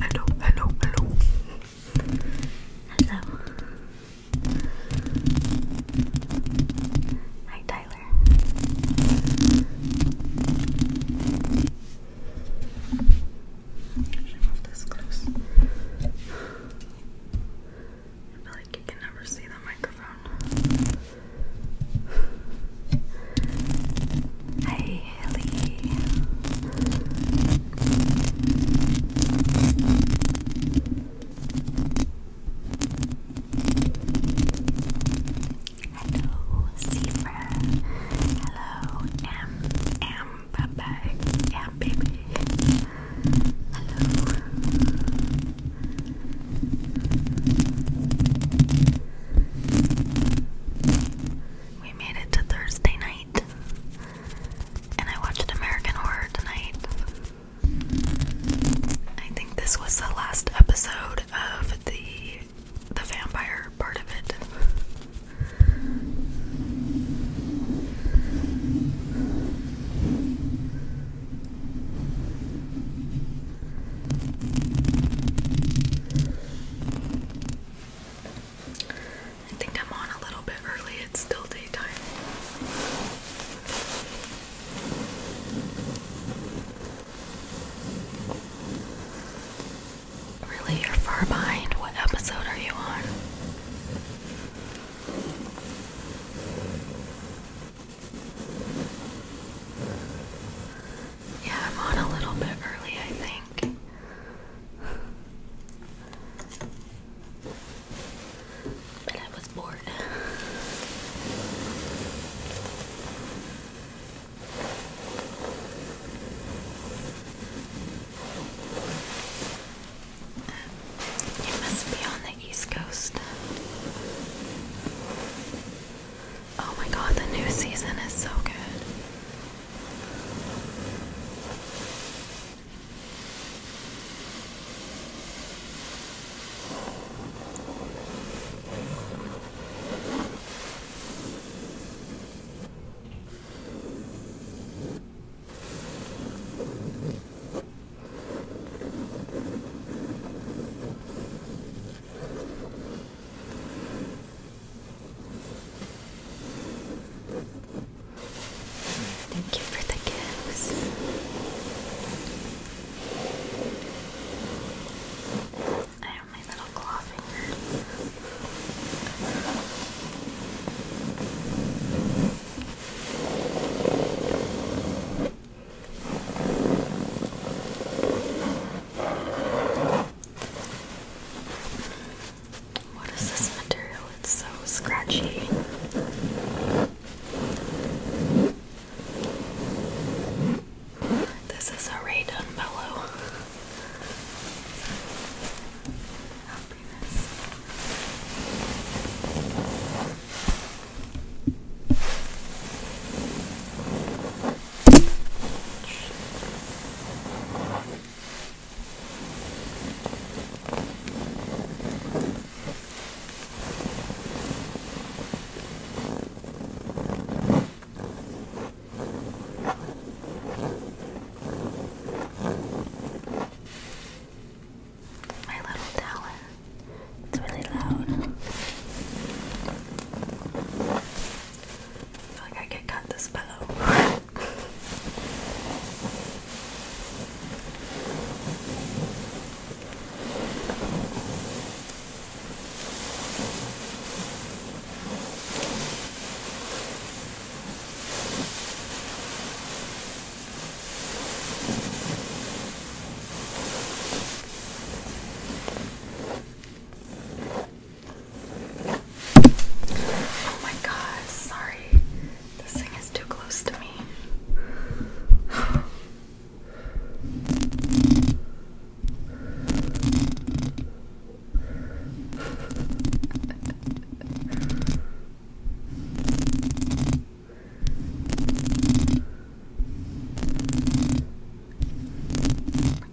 Hello, hello, hello. Hello. Hi, Tyler. Should I move this close? I feel like you can never see the microphone. Hey, Haley. Hello, Zebra. Hello, M. M. Papa. M. Baby. Hello. We made it to Thursday night, and I watched American Horror tonight. I think this was the last episode of the the vampire part of it. I think I'm on a little bit early, it's still daytime. Really, you're far behind. What episode are you on? Yeah, I'm on a little bit early, I think. But I was bored. You must be on the East Coast. Oh my god, the new season is so good. Thank you for the gifts. I have my little claw fingers. What is this material? It's so scratchy. This is a Ray Dunbello. My little tower. It's really loud. I feel like I could cut this pillow. Oh my god, sorry. This thing is too close to me.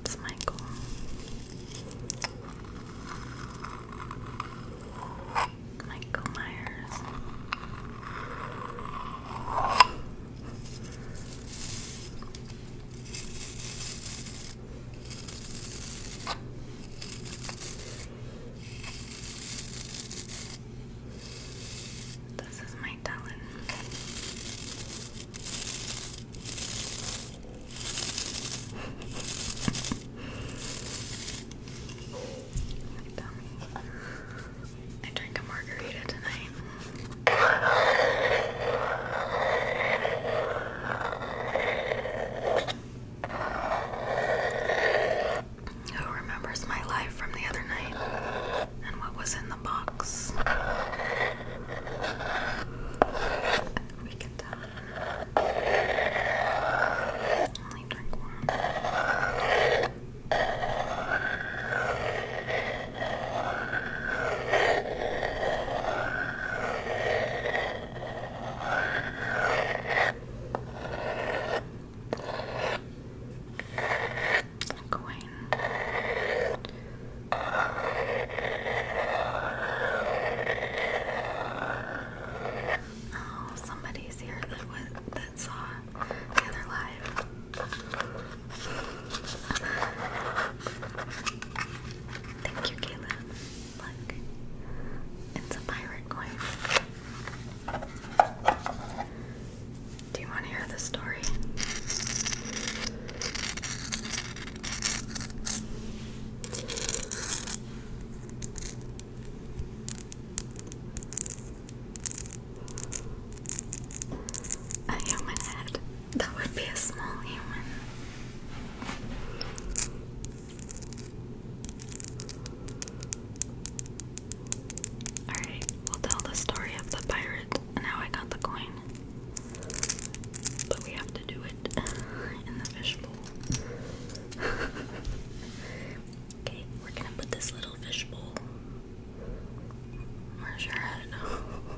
It's Michael. Michael Myers. This is my I drink a margarita tonight. Who remembers my life from the other night? and what was in the box. We can tell. Only drink one coin. Oh, somebody's here that was that saw the other live. Thank you, Caleb. Look, it's a pirate coin. Do you want to hear the story? A human head. That would be a small human. Alright, we'll tell the story of the pirate now I got the coin. But we have to do it in the fishbowl. okay, we're gonna put this little fishbowl. Where's your head?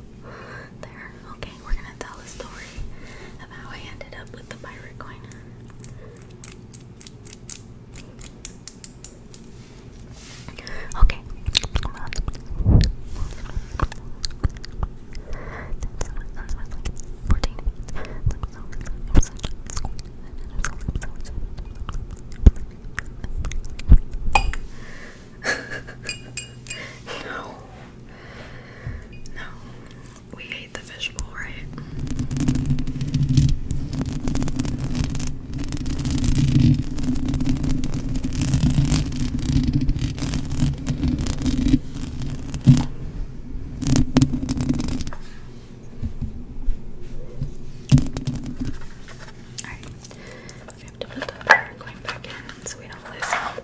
there. Okay, we're gonna tell a story of how I ended up with the pirate coin. Okay. no. No. We ate the fishbowl, right? Alright, we have to put the powder going back in so we don't lose it.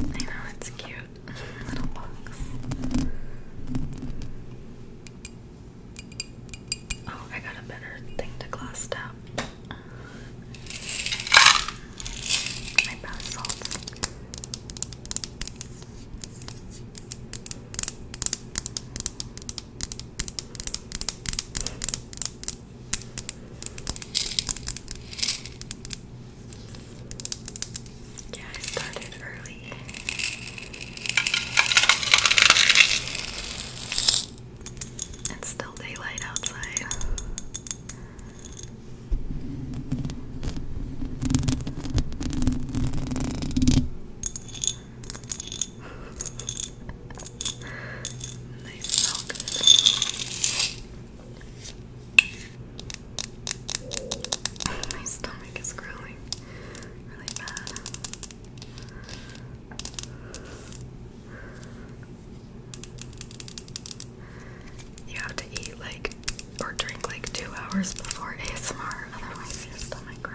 I know it's cute. Oh, I got a better thing to glass down. My bath salts. Yeah, I started early. It's still daylight outside. they smell good. My stomach is growling really bad. You have to eat like or drink like two hours before ASMR, otherwise your stomach grows.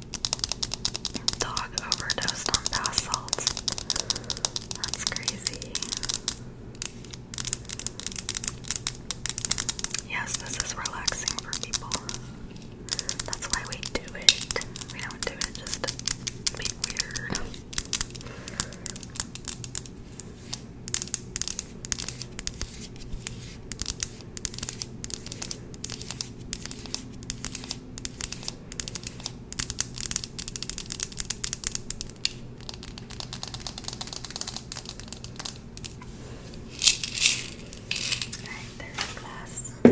Dog overdosed on bath salts. That's crazy. Yes, this is relaxing for people. That's why we do it. We don't do it just to be weird. Right, there's the glass. All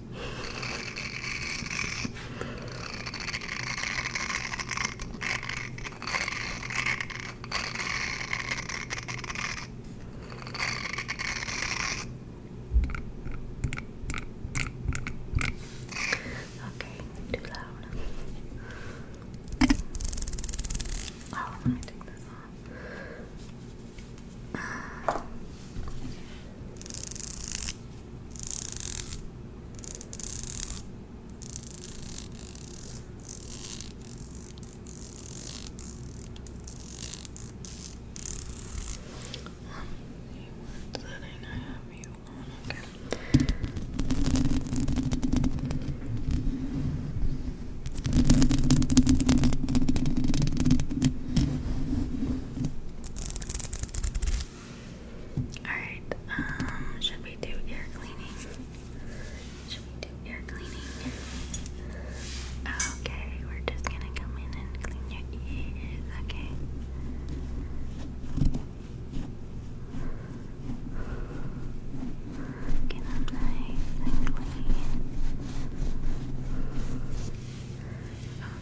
Okay, too loud. Oh, let me take this off. Let's see, I have you on, okay. Okay. Alright, um, should we do ear cleaning? Should we do ear cleaning? Okay, we're just gonna come in and clean your ears, okay? Get them clean.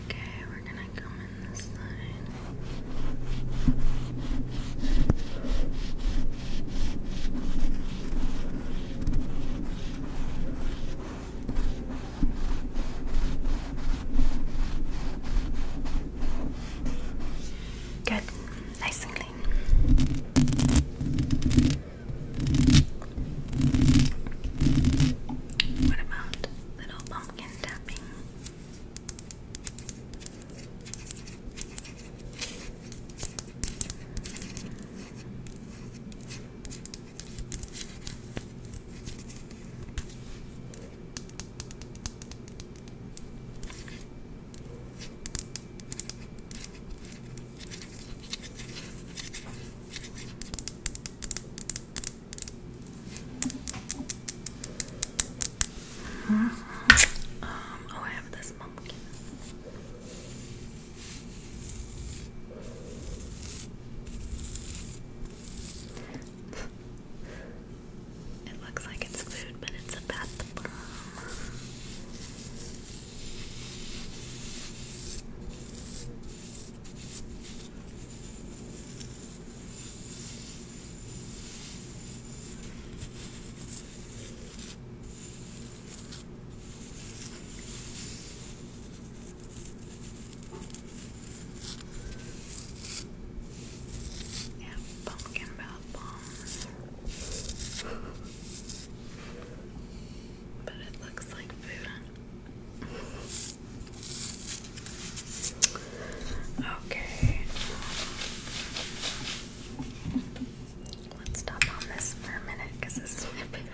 Okay, we're gonna come in this side. Good, nice and clean. What about little pumpkin tapping? Um, oh, I have this pumpkin. it looks like it's food, but it's a bath bomb. Yeah, pumpkin bath bombs. but it looks like food. Okay. Let's stop on this for a minute because this is my favorite.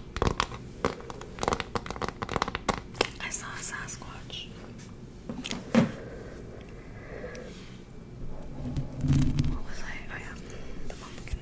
I saw a Sasquatch. What was I? Oh, yeah, the pumpkin.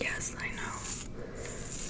Yes, I know.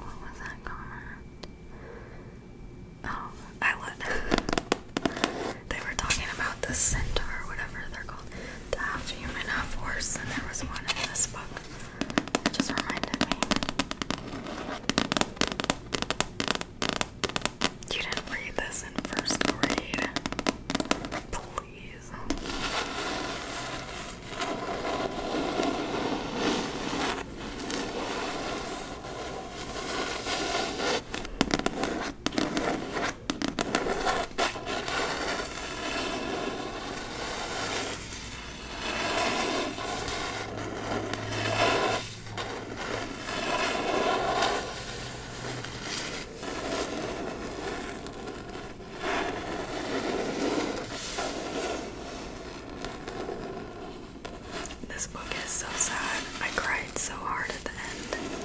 What was that comment? Oh, I would. they were talking about the centaur, or whatever they're called, the half human, half horse, and there was one in this book it just reminded me. You didn't read this in first grade. Please. This book is so sad. I cried so hard at the end.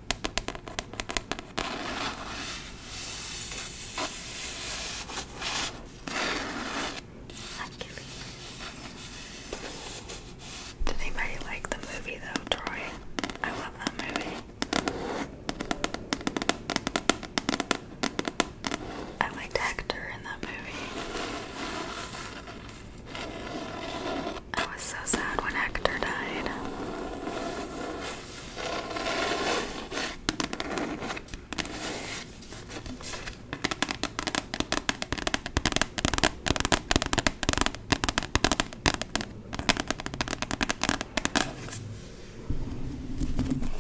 Did anybody like the movie though, Troy? I love that movie. I liked Hector in that movie. I was so sad when Hector died.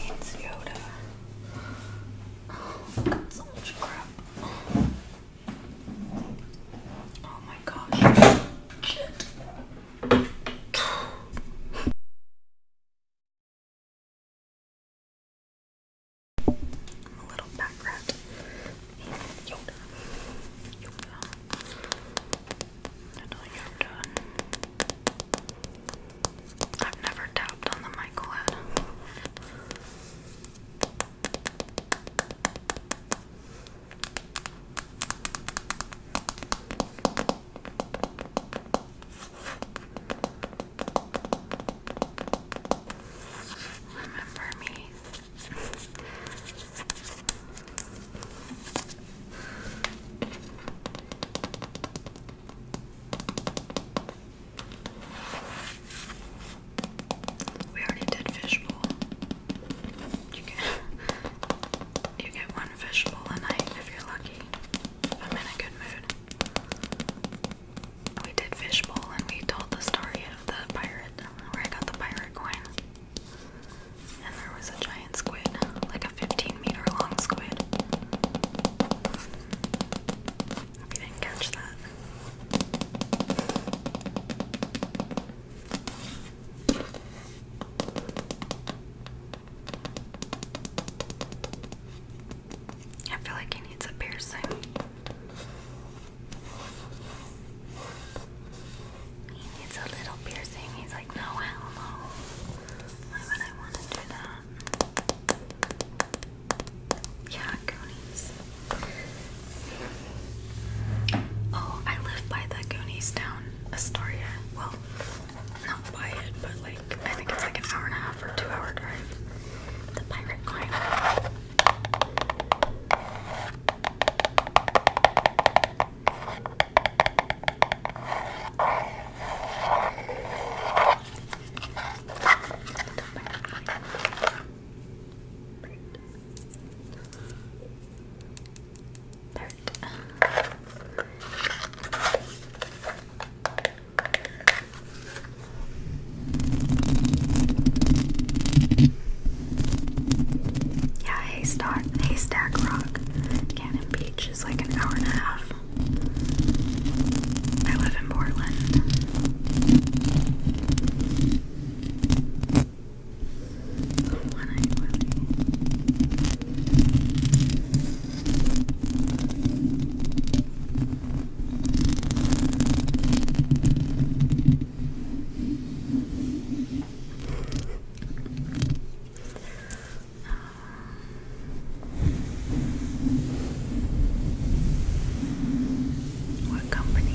It's Yoda. Oh, so much crap. Oh my gosh. I'm a little back rat. Yoda. Yoda. Little Yoda. I've never tapped on the Michael head. Remember me. We already did fishbowl. You get, you get one fishbowl a night if you're lucky. I'm in a good mood. We did fishbowl and we told the story of the pirate, where I got the pirate coin. And there was a giant squid, like a 15 meter long squid. Hope didn't catch that. I feel like he needs a piercing. He needs a little piercing. He's like, no, Why would I want to do that? Yeah, conies. Oh, I live by the Goonies down Astoria. Well, not by it, but like I think it's like an hour and a half or two hour drive. The pirate coin dirt. Yeah, Haystack, Haystack Rock, Cannon Beach is like an hour and a half. I live in Portland. The one what company?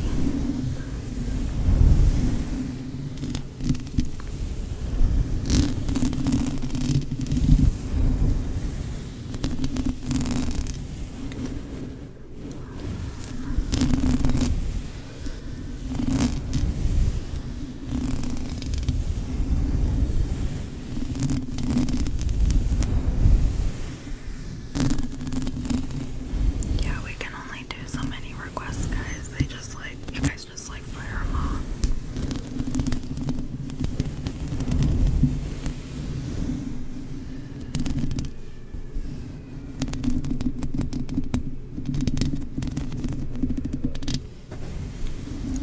Yeah, we can only only do so many requests, guys. They just like, you guys just like fire them off.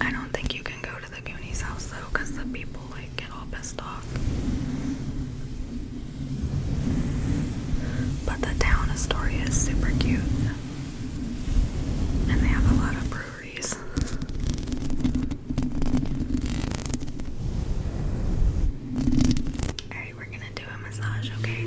I don't think you can go to the Goonies house though, because the people like get all pissed off. But the town Astoria is super cute. And they have a lot of breweries. Alright, we're gonna do a massage, okay?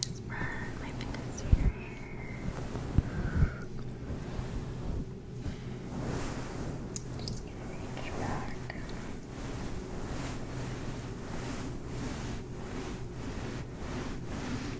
Just run my fingers through your hair. Just gonna reach back.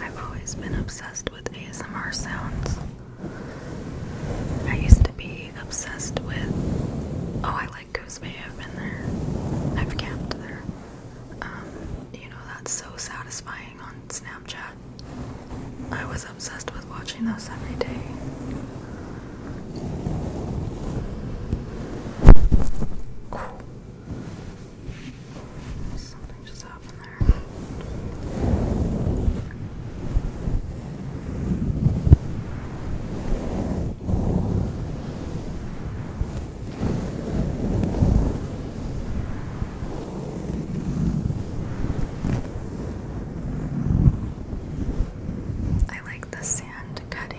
I've always been obsessed with ASMR sounds. I used to be obsessed with. Oh, I like Goose Bay. I've been there. I've camped there. Um, you know, that's so satisfying on Snapchat. I was obsessed with watching those every day. Something just up in there. I like the sand cutting.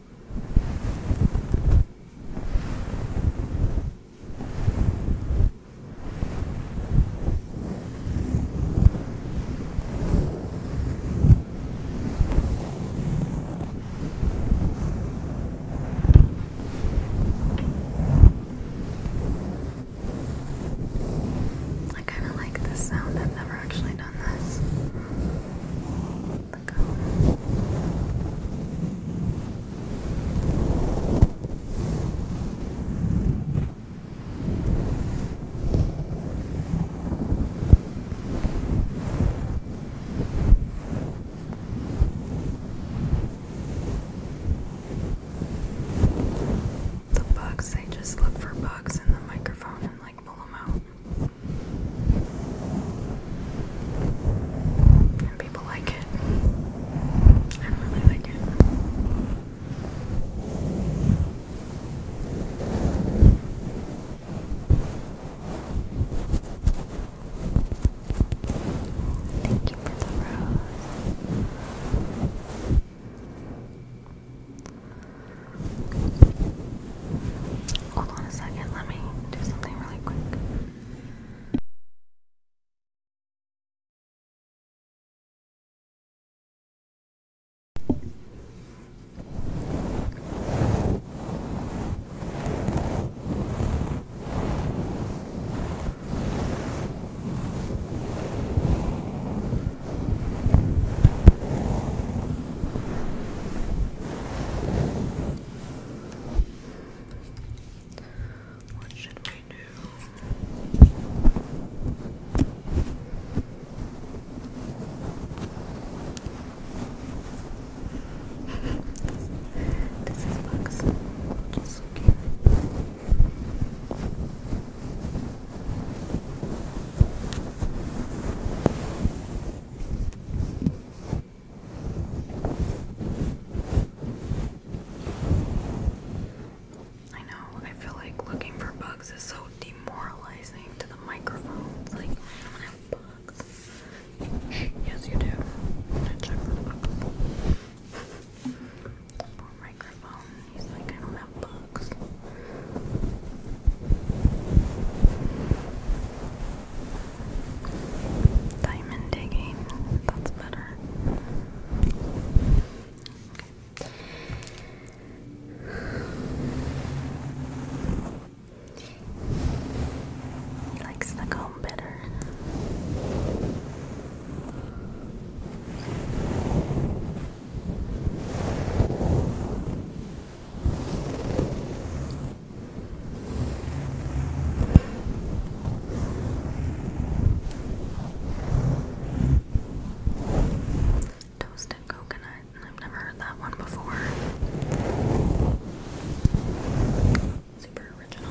I kind of like this sound. I've never actually done this the bugs, I just look for bugs in the microphone and like pull them out people like it. I really like it. Thank you for the rose. Hold on a second, let me do something really quick. What should we do? this is Bugs. Just so I know, I feel like looking for bugs is so demoralizing to the microphone. It's like, I don't have bugs. Yes, you do. for microphone. He's like, I don't have bugs. Diamond digging. That's better. He likes the comb better. Toasted coconut. I've never heard that one before. Super original.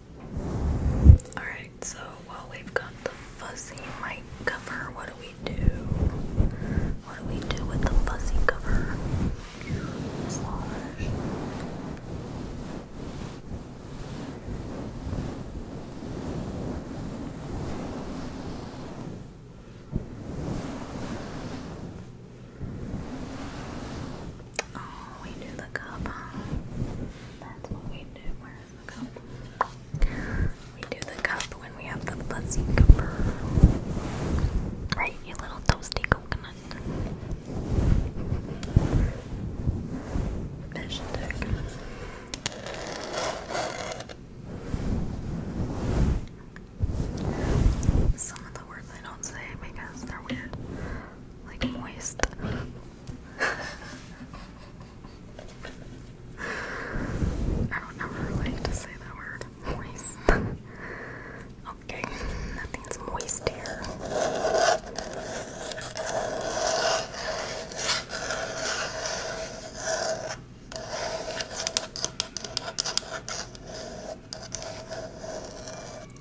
Alright, so while we've got the fuzzy mic cover, what do we do? What do we do with the fuzzy cover? Oh, we do the cup, That's what we do. We do the cup when we have the fuzzy cooper. Right, you little toasty coconut. Some of the words I don't say because they're weird. Like moist. I don't ever like to say that word. Moist. okay, nothing's moist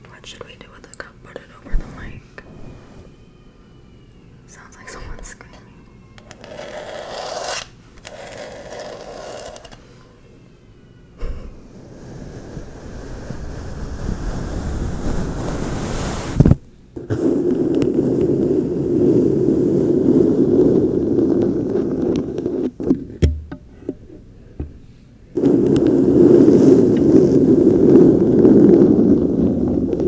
What should we do with the cup? Put it over the mic. Sounds like someone's screaming.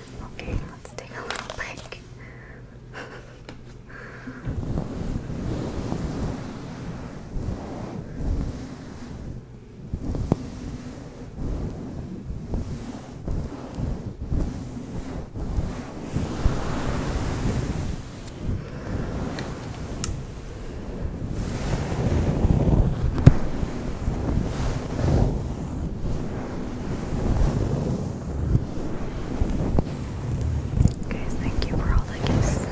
Okay, let's take a little break. Guys, thank you for all the gifts.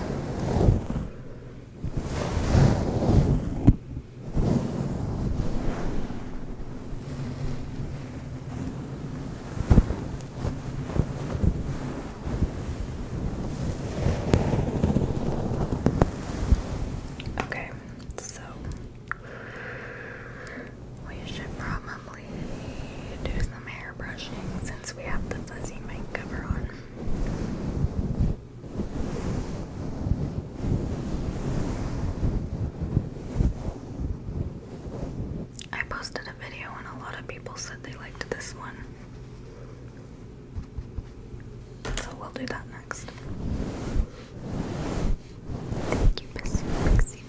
Okay, so we should probably do some hair brushing since we have the fuzzy mic on. I posted a video and a lot of people said they liked this one. So we'll do that next. Thank you, Pixie, Pixie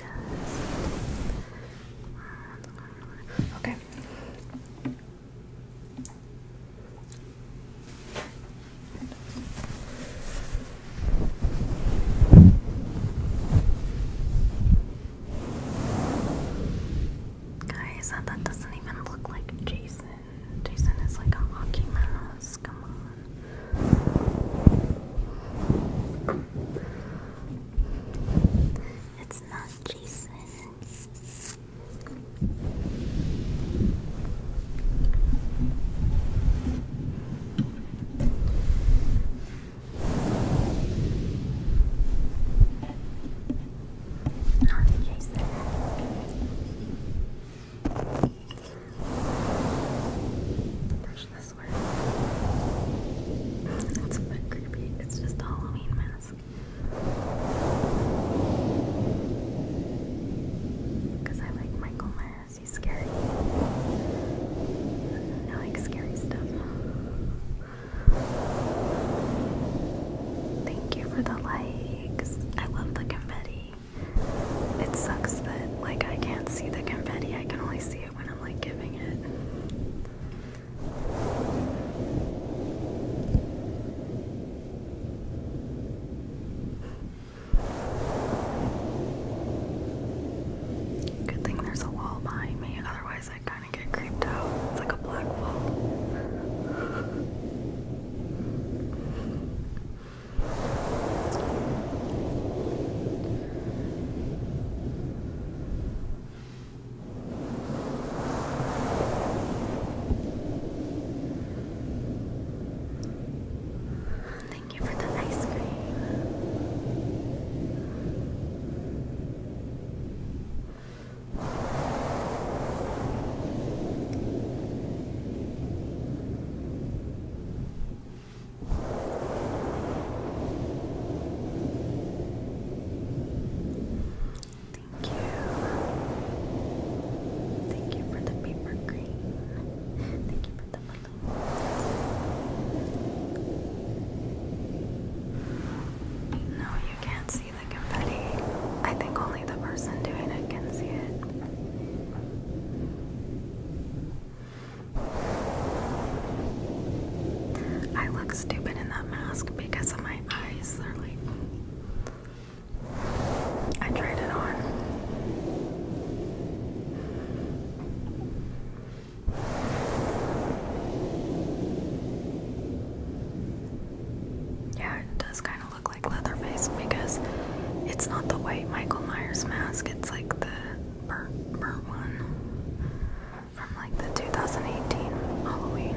Okay. Guys, that doesn't even look like Jason. Jason is like a hockey mask. Come on. It's not Jason. Not Jason. Brush this way. It's a bit creepy. It's just a Halloween mask. Because I like Michael Myers. He's scary. I like scary stuff. Thank you for the likes. I love the confetti. It sucks that like I can't see the confetti. I can only see it when I'm like giving it. Good thing there's a wall behind me, otherwise I kind of get creeped out. It's like a black wall. Thank you for the ice cream. Thank you. Thank you for the paper green. Thank you for the balloon. No, you can't see the confetti. I think only the person doing it can see it. I look stupid in that mask because of my eyes. They're like. I tried it on. Yeah, it does kind of look like Leatherface because it's not the white Michael Myers mask, it's like the burnt, burnt one from like the 2018 Halloween.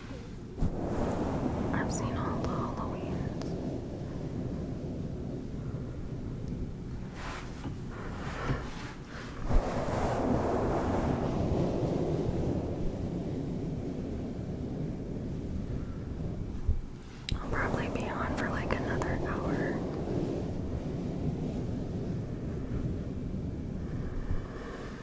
I've seen all the Halloween. I'll probably be on for like another hour.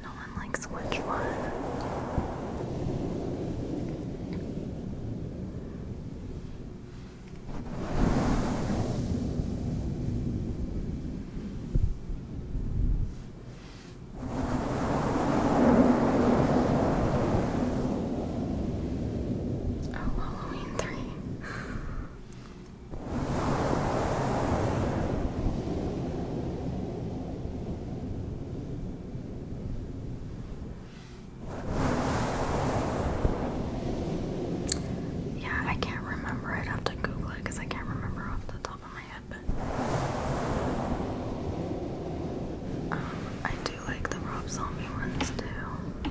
No one likes which one. Oh, Halloween 3. Yeah, I can't remember. I'd have to Google it because I can't remember off the top of my head. But um, I do like the Rob Zombie ones too.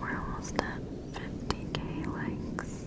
We're almost at fifty K likes.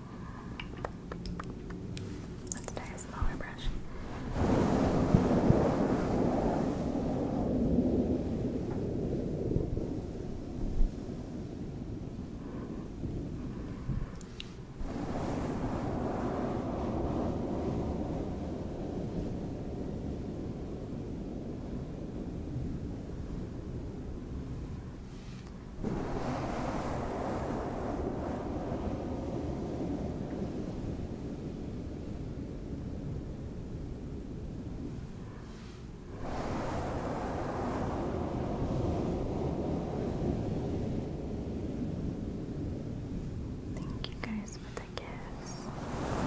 Let's try a smaller brush. Thank you guys for the gifts. Thank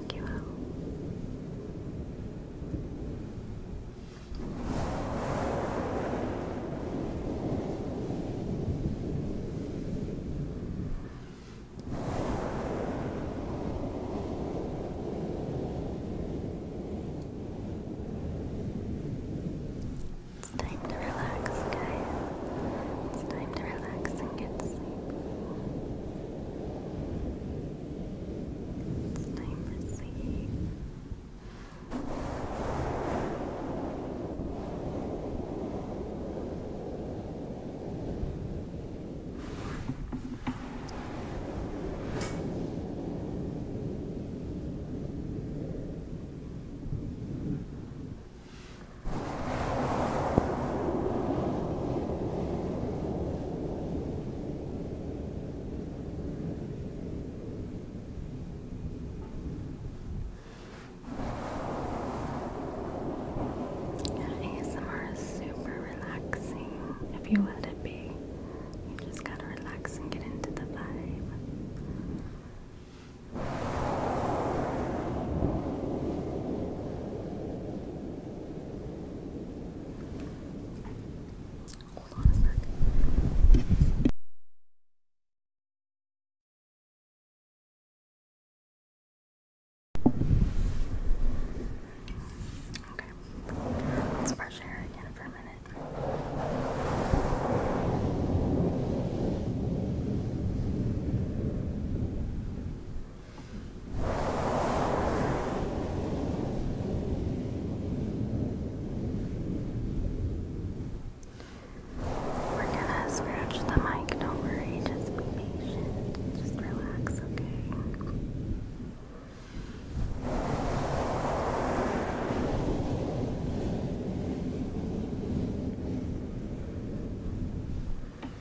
It's time to relax, guys. It's time to relax and get sleepy. Time for sleep. Good yeah, ASMR is super relaxing if you let it be. You just gotta relax and get into the vibe. Hold on a sec. Okay, let's brush hair again for a minute. We're gonna scratch the mic, don't worry, just be patient. Just relax, okay?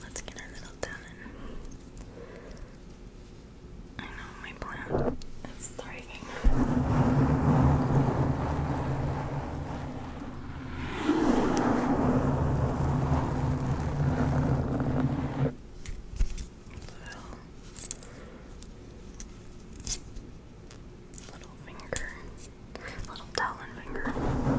Let's get our little done I know my plant is thriving. So, Little finger, little talon finger. Little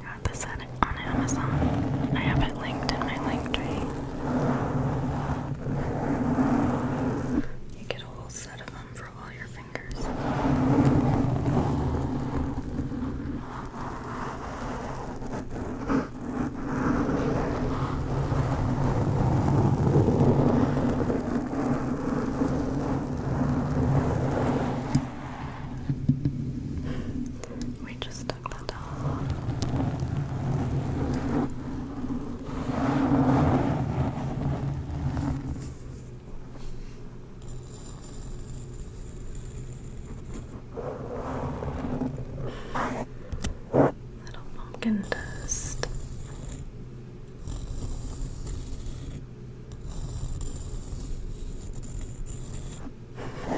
I got this set on Amazon. I have it linked in my link tree. You get a whole set of them for all your fingers. We just took that off. Little pumpkin dust. Now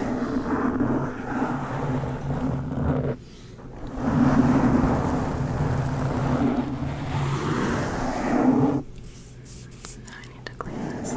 I need to clean this.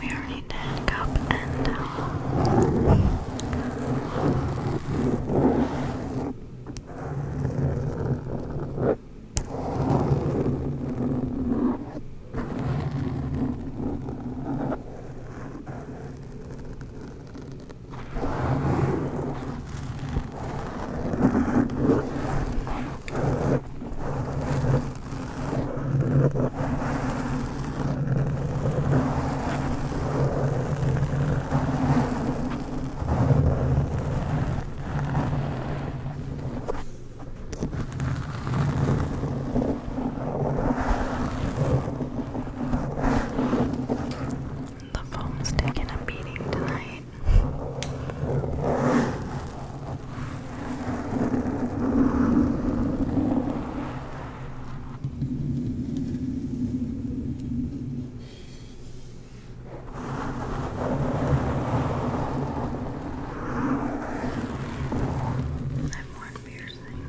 We already did up and towel. The foam's taking a beating tonight. That more piercing.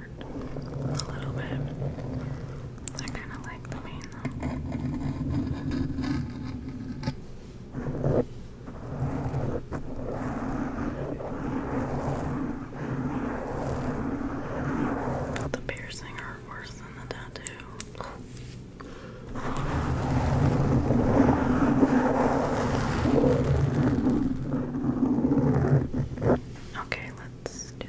a little bit. I kind of like the pain though. the piercing hurt worse than the tattoo. Okay, let's do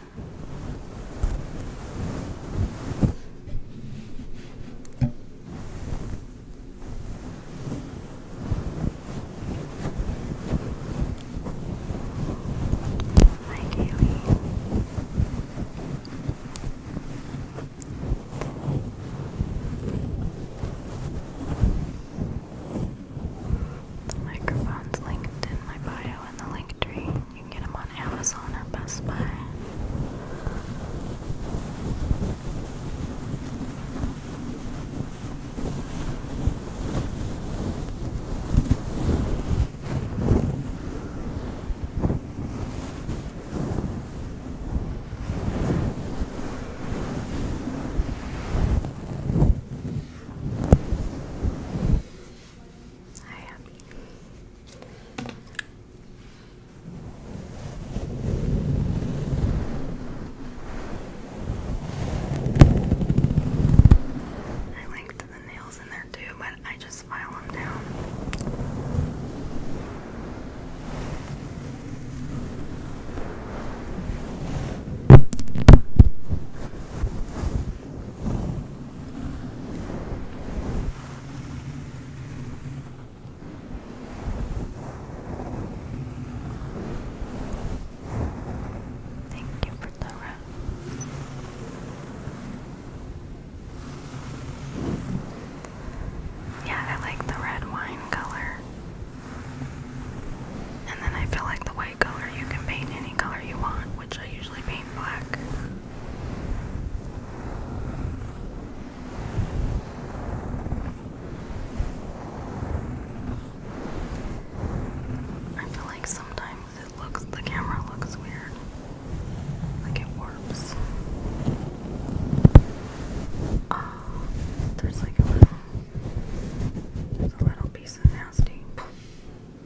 Hi, Kaylee. The microphone's linked in my bio in the link tree. You can get them on Amazon or Best Buy. I am. I liked the nails in there too, but I just file them down. Thank you for the rose. Yeah, I like the red wine color. And then I feel like the white color you can paint any color you want, which I usually paint black. I feel like sometimes it looks, the camera looks weird. Like it warps. oh, there's like a little, there's a little piece of nasty.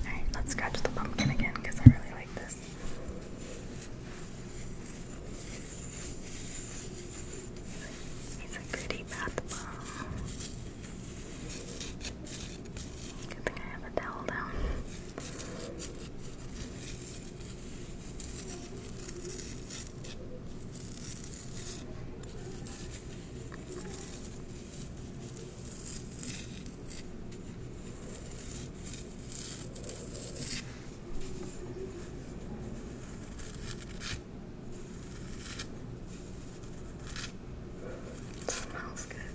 Alright, let's scratch the pumpkin again because I really like this. He's a pretty bath bomb. Good thing I have a towel down smells good.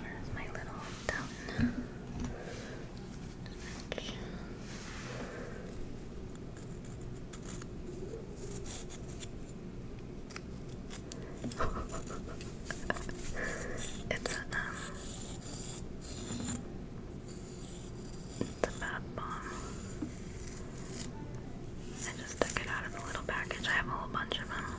Where's my little fountain? it's a um it's a bath bomb. I just took it out of a little package. I have a whole bunch of them.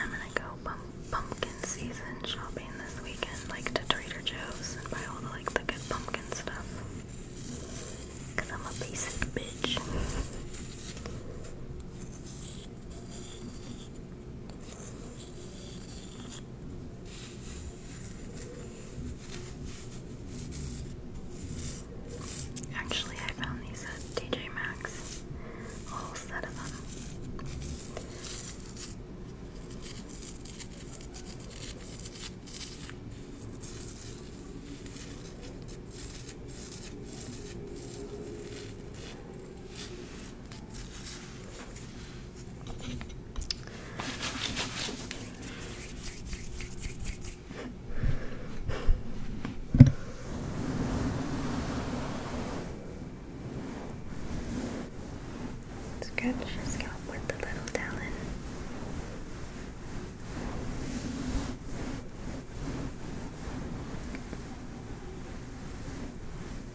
I'm gonna go pumpkin season shopping this weekend, like to Trader Joe's and buy all the like the good pumpkin stuff. Cause I'm a basic bitch. Actually, I found these at DJ Maxx, whole set of them. Scratch your scalp with the little talon.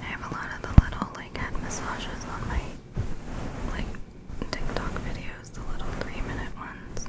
I have a lot of the little like head massages on my like TikTok videos, the little three minute ones.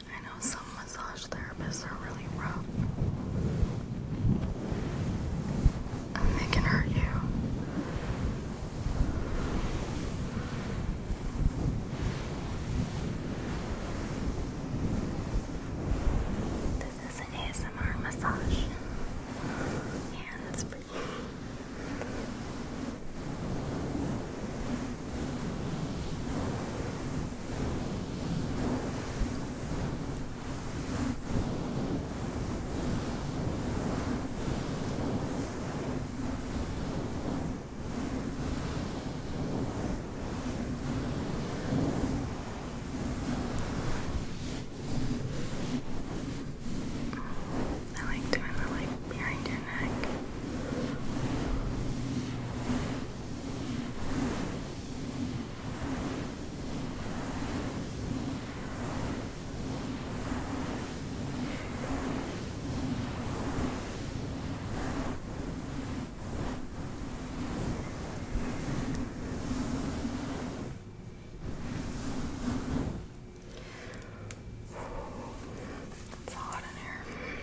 I know some massage therapists are really rough. they can hurt you. This is an ASMR massage. Hands free. I like doing the like behind your neck. Good. It's hot in here.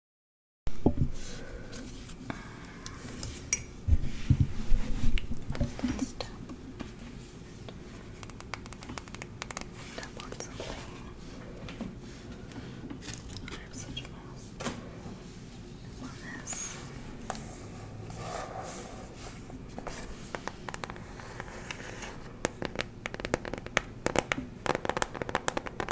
Let's on something. I have such a mess. On this.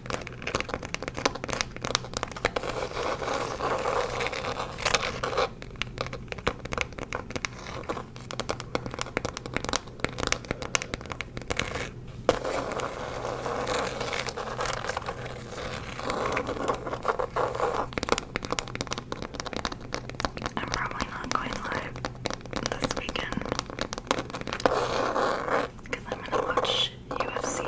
I'm probably not going live this weekend because I'm gonna watch watch UFC.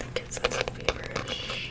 It gets feverish.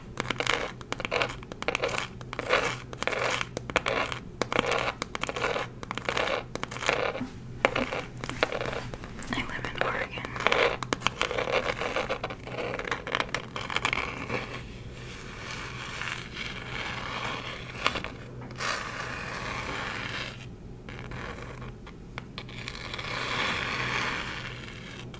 I live in Oregon.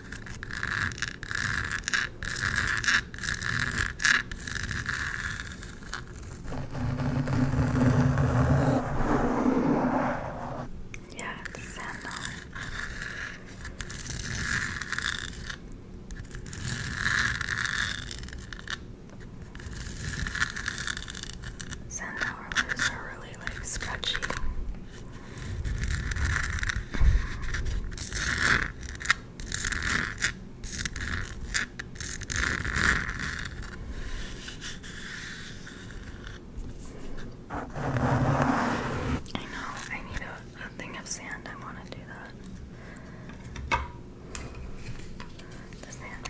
Yes, and Sandal rollers are really like scratchy. I know, I need a, thing of sand. I want to do that. The sand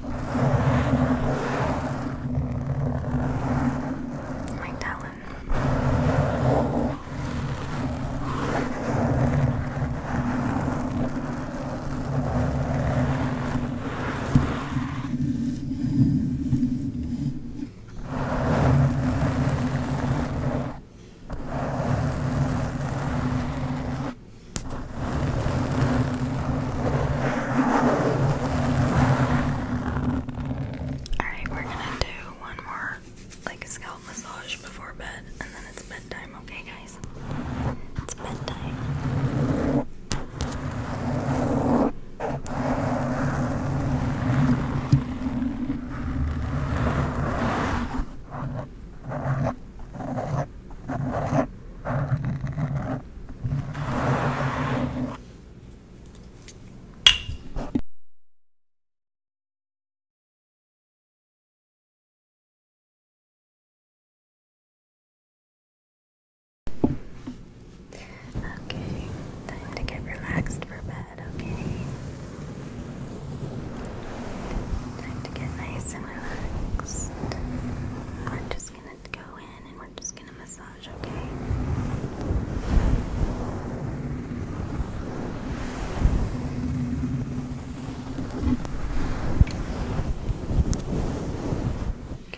My talon. Good. Alright, we're gonna do one more like scalp massage before bed, and then it's bedtime, okay, guys? It's bedtime. Okay, time to get relaxed for bed, okay? Time to get nice and relaxed. We're just gonna go in and we're just gonna massage, okay? Okay. Okay.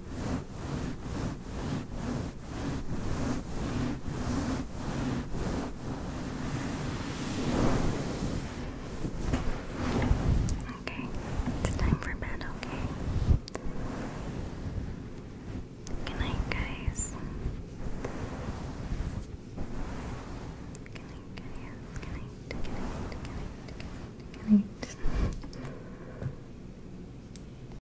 Okay, it's time for bed, okay? Good guys. Good night, guys. Good night, good